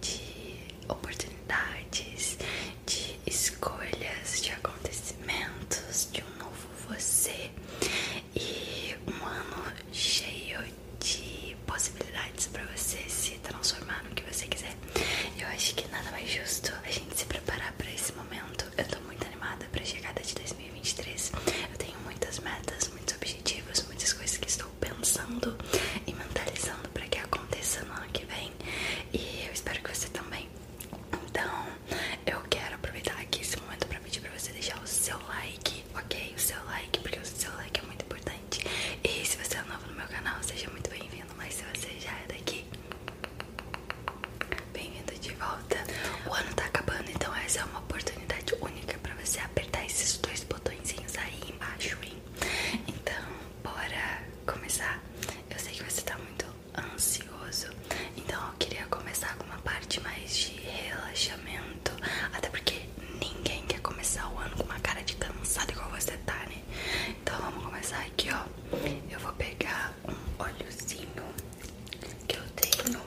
de oportunidades, de escolhas, de acontecimentos, de um novo você e um ano cheio de possibilidades para você se transformar no que você quiser. Eu acho que nada mais justo a gente se preparar para esse momento. Eu tô muito animada para a chegada de 2023. Eu tenho muitas metas, muitos objetivos, muitas coisas que estou pensando e mentalizando para que aconteça no ano que vem e eu espero que você também. Então, eu quero aproveitar aqui esse momento para pedir para você deixar o seu like, ok? O seu like, porque o seu like é muito importante. E se você é novo no meu canal, seja muito bem-vindo, mas se você já é daqui, bem-vindo de volta. O ano tá acabando, então essa é uma oportunidade única para você apertar esses dois botõezinhos aí embaixo, hein? Então, bora começar. Eu sei que você tá muito ansioso, então eu queria começar com uma parte mais de relaxamento, até porque ninguém quer começar o ano com uma cara de cansado igual você tá, né? Então vamos começar aqui, ó. Eu vou pegar um óleozinho que eu tenho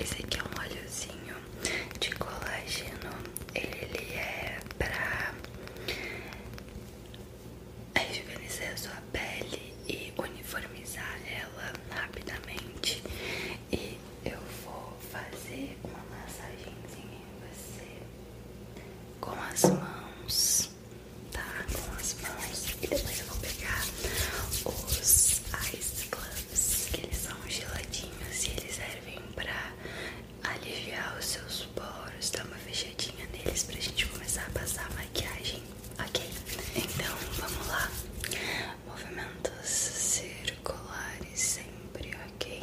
Esse aqui é um óleozinho de colágeno. Ele é pra a é rejuvenescer a sua pele e uniformizar ela rapidamente. E eu vou fazer uma massagenzinha em você com as mãos, tá? Com as mãos. E depois eu vou pegar os ice clubs, que eles são geladinhos e eles servem pra aliviar os seus poros, dar uma fechadinha neles pra gente começar a passar a maquiagem, ok? Então vamos lá, movimentos circulares sempre, ok?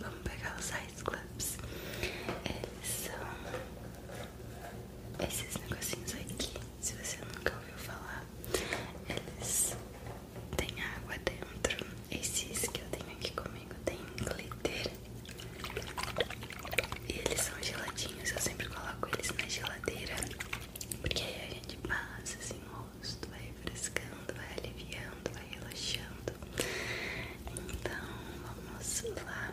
Vamos pegar os ice claps Eles são esses negocinhos aqui. Se você nunca ouviu falar, eles têm água dentro esses que eu tenho aqui comigo tem glitter. E eles são geladinhos, eu sempre coloco eles na geladeira. Porque aí a gente passa assim no rosto, vai refrescando, vai aliviando, vai relaxando. Então vamos lá.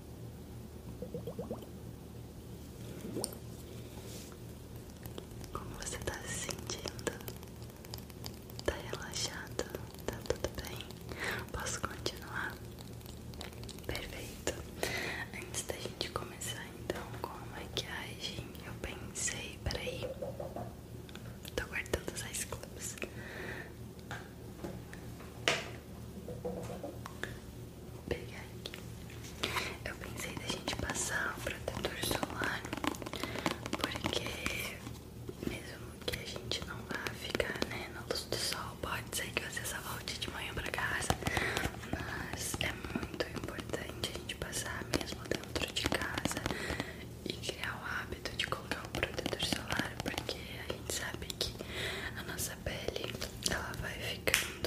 Como você tá se sentindo? Tá relaxado? Tá tudo bem? Posso continuar? Perfeito. Antes da gente começar então com a maquiagem, eu pensei, peraí, tô guardando os ice clubs. Vou pegar aqui. Eu pensei da gente passar o protetor solar, porque mesmo que a gente não vá ficar né, na luz do sol, pode ser que você só volte de manhã pra casa, mas é muito importante a gente passar mesmo dentro de casa e criar o hábito de colocar o protetor solar, porque a gente sabe que a nossa pele ela vai ficando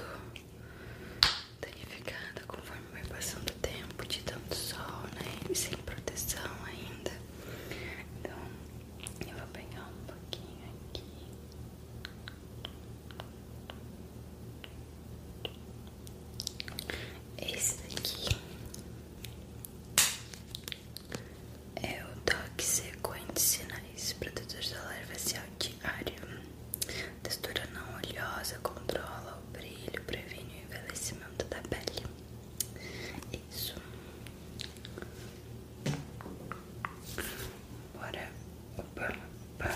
danificada conforme vai passando o tempo de tanto sol, né? sem proteção ainda. Então, eu vou pegar um pouquinho aqui. Esse daqui é o DOC Sequente Sinais Protetor Solar Facial de área. Textura não oleosa, controla o brilho, previne o envelhecimento da pele. Isso. Bora. Opa, opa.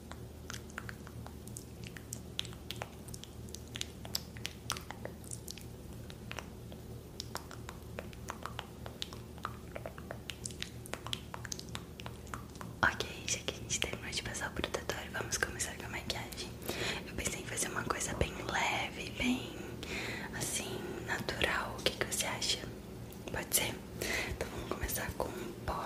Ok, já que a gente terminou de passar o protetor, vamos começar com a maquiagem. Eu pensei em fazer uma coisa bem leve, bem assim, natural. O que, você acha? Pode ser? Então vamos começar com um pó.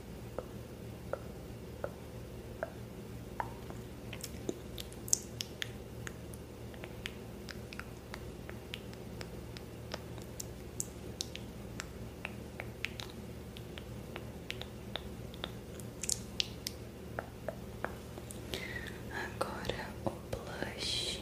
Agora o blush.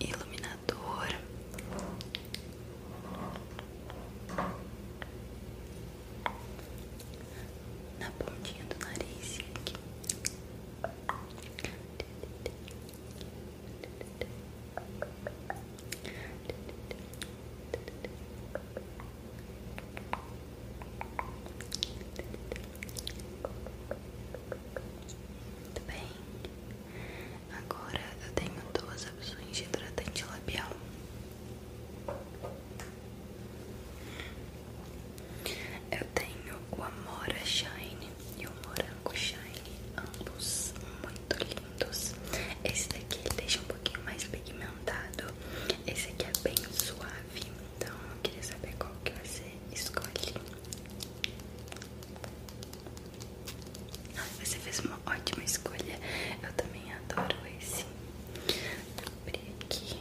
iluminador na pontinha do nariz aqui tudo bem, agora eu tenho duas opções de hidratante labial. Eu tenho o Amora Shine e o Morango Shine, ambos muito muito lindos. Esse daqui ele deixa um pouquinho mais pigmentado. Esse aqui é bem suave. Então eu queria saber qual que você escolhe. Ai, você fez uma ótima escolha. Eu também adoro esse. Vou abrir aqui.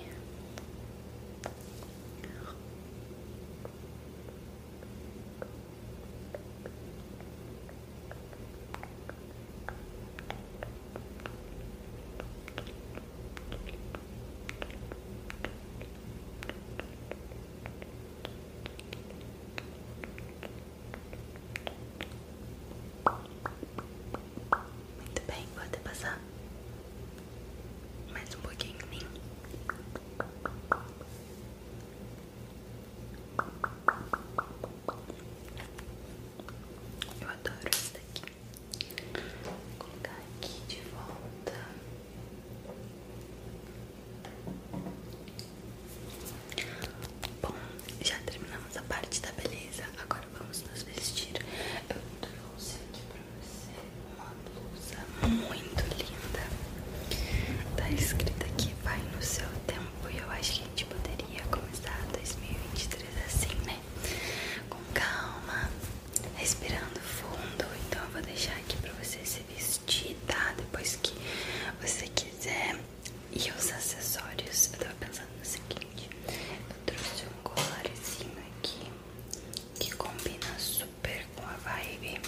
Muito bem, pode passar mais um pouquinho eu adoro esse daqui. Vou colocar aqui de volta. Bom, já terminamos a parte da beleza. Agora vamos nos vestir. Eu trouxe aqui pra você uma blusa muito linda. Tá escrita aqui, vai no seu tempo tempo eu acho que a gente poderia começar 2023 assim, né? Com calma, respirando fundo. Então eu vou deixar aqui pra você se vestir, tá? Depois que você quiser. E os acessórios, eu tava pensando no seguinte: eu trouxe um colarzinho aqui que combina super com a vibe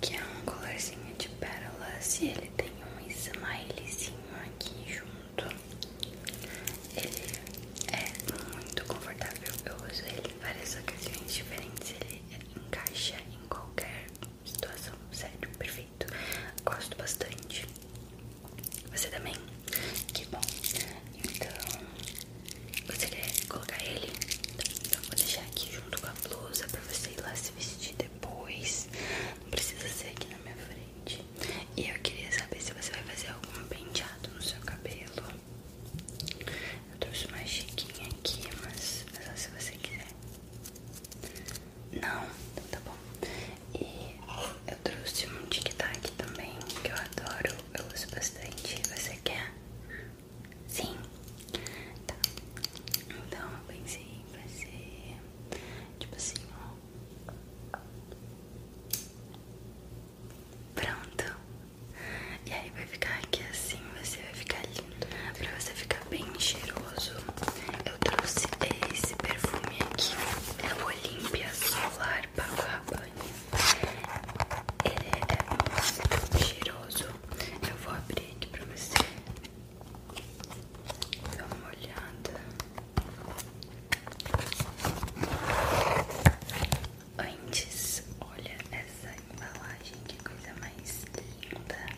que é um colorzinho de pérolas e ele tem um smilezinho aqui junto. Ele é muito confortável, eu uso ele em várias ocasiões diferentes, ele encaixa em qualquer situação, sério, perfeito. Gosto bastante. Você também? Que bom. Então, você quer colocar ele? Então, vou deixar aqui junto com a blusa você ir lá se vestir depois. Não precisa ser aqui na minha frente. E eu queria saber se você vai fazer algum penteado no seu cabelo. Eu trouxe uma chiquinha aqui, mas é só se você quiser. Não, então tá bom. E eu trouxe um tic-tac também, que eu adoro, eu uso bastante. Você quer? Sim? Tá. Então eu pensei em fazer tipo assim, ó. Pronto. E aí vai ficar aqui assim, você vai ficar lindo. Pra você ficar bem cheiroso, eu trouxe esse perfume aqui. É o Olympia Solar Balm Ele é muito cheiroso. Eu vou abrir aqui pra você dar uma olhada antes. Olha essa embalagem, que coisa mais linda!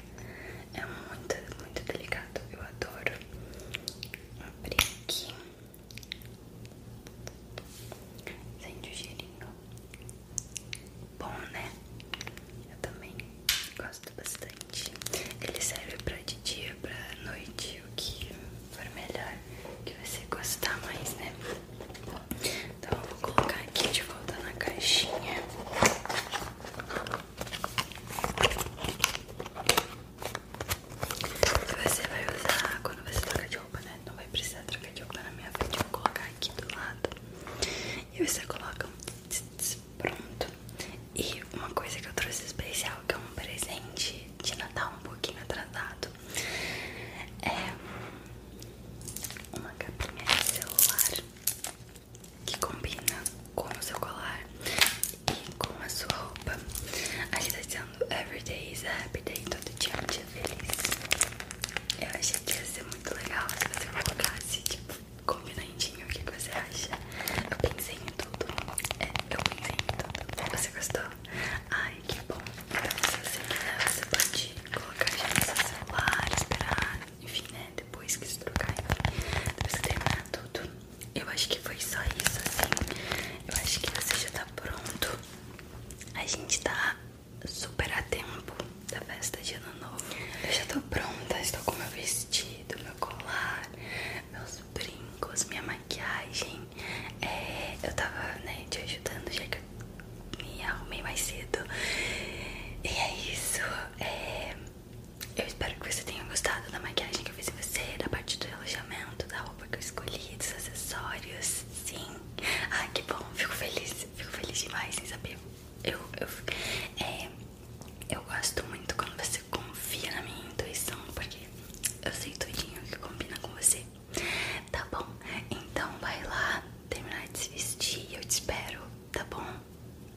É muito, muito delicado. Eu adoro abrir aqui. Sente o cheirinho. Bom, né? Eu também gosto bastante. Ele serve pra de dia, pra noite, o que for melhor, que você gostar mais, né? Então eu vou colocar aqui de volta na caixinha. você vai usar quando você trocar de roupa, né? Não vai precisar trocar de roupa na minha frente. Vou colocar aqui do lado. E você coloca um tz, pronto. E uma coisa que eu trouxe especial, que é um presente de Natal um pouquinho atrasado, é uma capinha de celular que combina com o seu colar e com a sua roupa. a gente tá dizendo Every day is a happy day, todo dia feliz. Eu achei que ia ser muito legal se você colocasse, tipo, combinandinho o que você acha. Eu pensei em tudo. É, eu pensei em tudo. Você gostou? Ai, que bom. Então, você quiser, pode colocar já no seu celular, esperar, enfim, né? Depois que se trocar, enfim, depois que terminar tudo. Eu acho que foi só isso, assim. Eu acho que você já tá pronto. A gente tá super a tempo da festa de ano novo. Eu já tô pronta, estou com meu vestido, meu colar, meus brincos, minha maquiagem. É, eu tava né, te ajudando já que eu me arrumei mais cedo. E é isso. É, eu espero que você tenha gostado da maquiagem que eu fiz em você, da parte do alojamento, da roupa que eu escolhi, dos acessórios. Sim. Ai, que bom. Fico feliz. Fico feliz demais sem saber eu, eu, é, eu gosto muito quando você confia na minha intuição, porque eu sei tudinho que combina com você. Tá bom? Então vai lá terminar de se vestir e eu te espero, tá bom?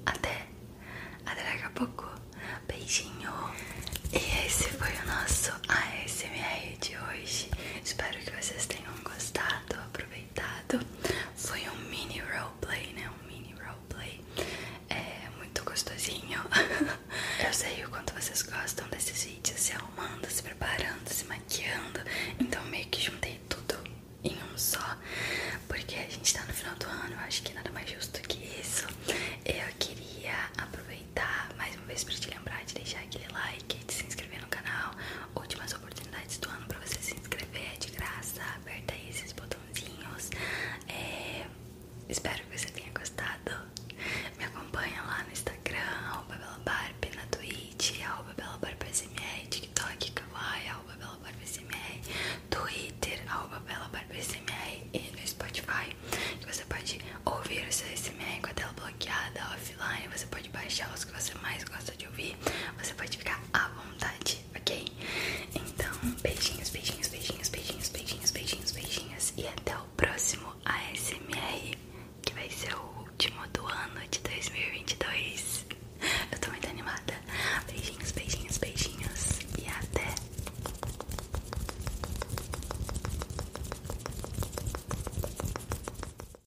Até, até daqui a pouco. Beijinho. E esse foi o nosso ASMR de hoje. Espero que vocês tenham gostado. Aproveite foi um mini roleplay, né? Um mini roleplay. É muito gostosinho. Eu sei o quanto vocês gostam desses vídeos, se arrumando, se preparando, se maquiando. Então meio que juntei tudo em um só. Porque a gente tá no final do ano, eu acho que nada mais justo que isso. Eu queria aproveitar mais uma vez para te lembrar de deixar aquele like, de se inscrever no canal. Últimas oportunidades do ano pra você se inscrever, é de graça. Aperta aí esses botãozinhos. É, espero que você tenha gostado. Me acompanha lá no Instagram, arroba belabarp, na Twitch, arroba belabarpsmr, TikTok, kawaii, arroba belabarpsmr, Twitter, arroba belabarpsmr e no Spotify. Que você pode ouvir o seu SMR com a tela bloqueada offline, você pode baixar os que você mais gosta de ouvir você pode ficar à vontade, ok? Então, beijinhos, beijinhos, beijinhos, beijinhos, beijinhos, beijinhos, beijinhos e até o próximo ASMR, que vai ser o último do ano de 2022. Eu tô muito animada. Beijinhos, beijinhos, beijinhos e até.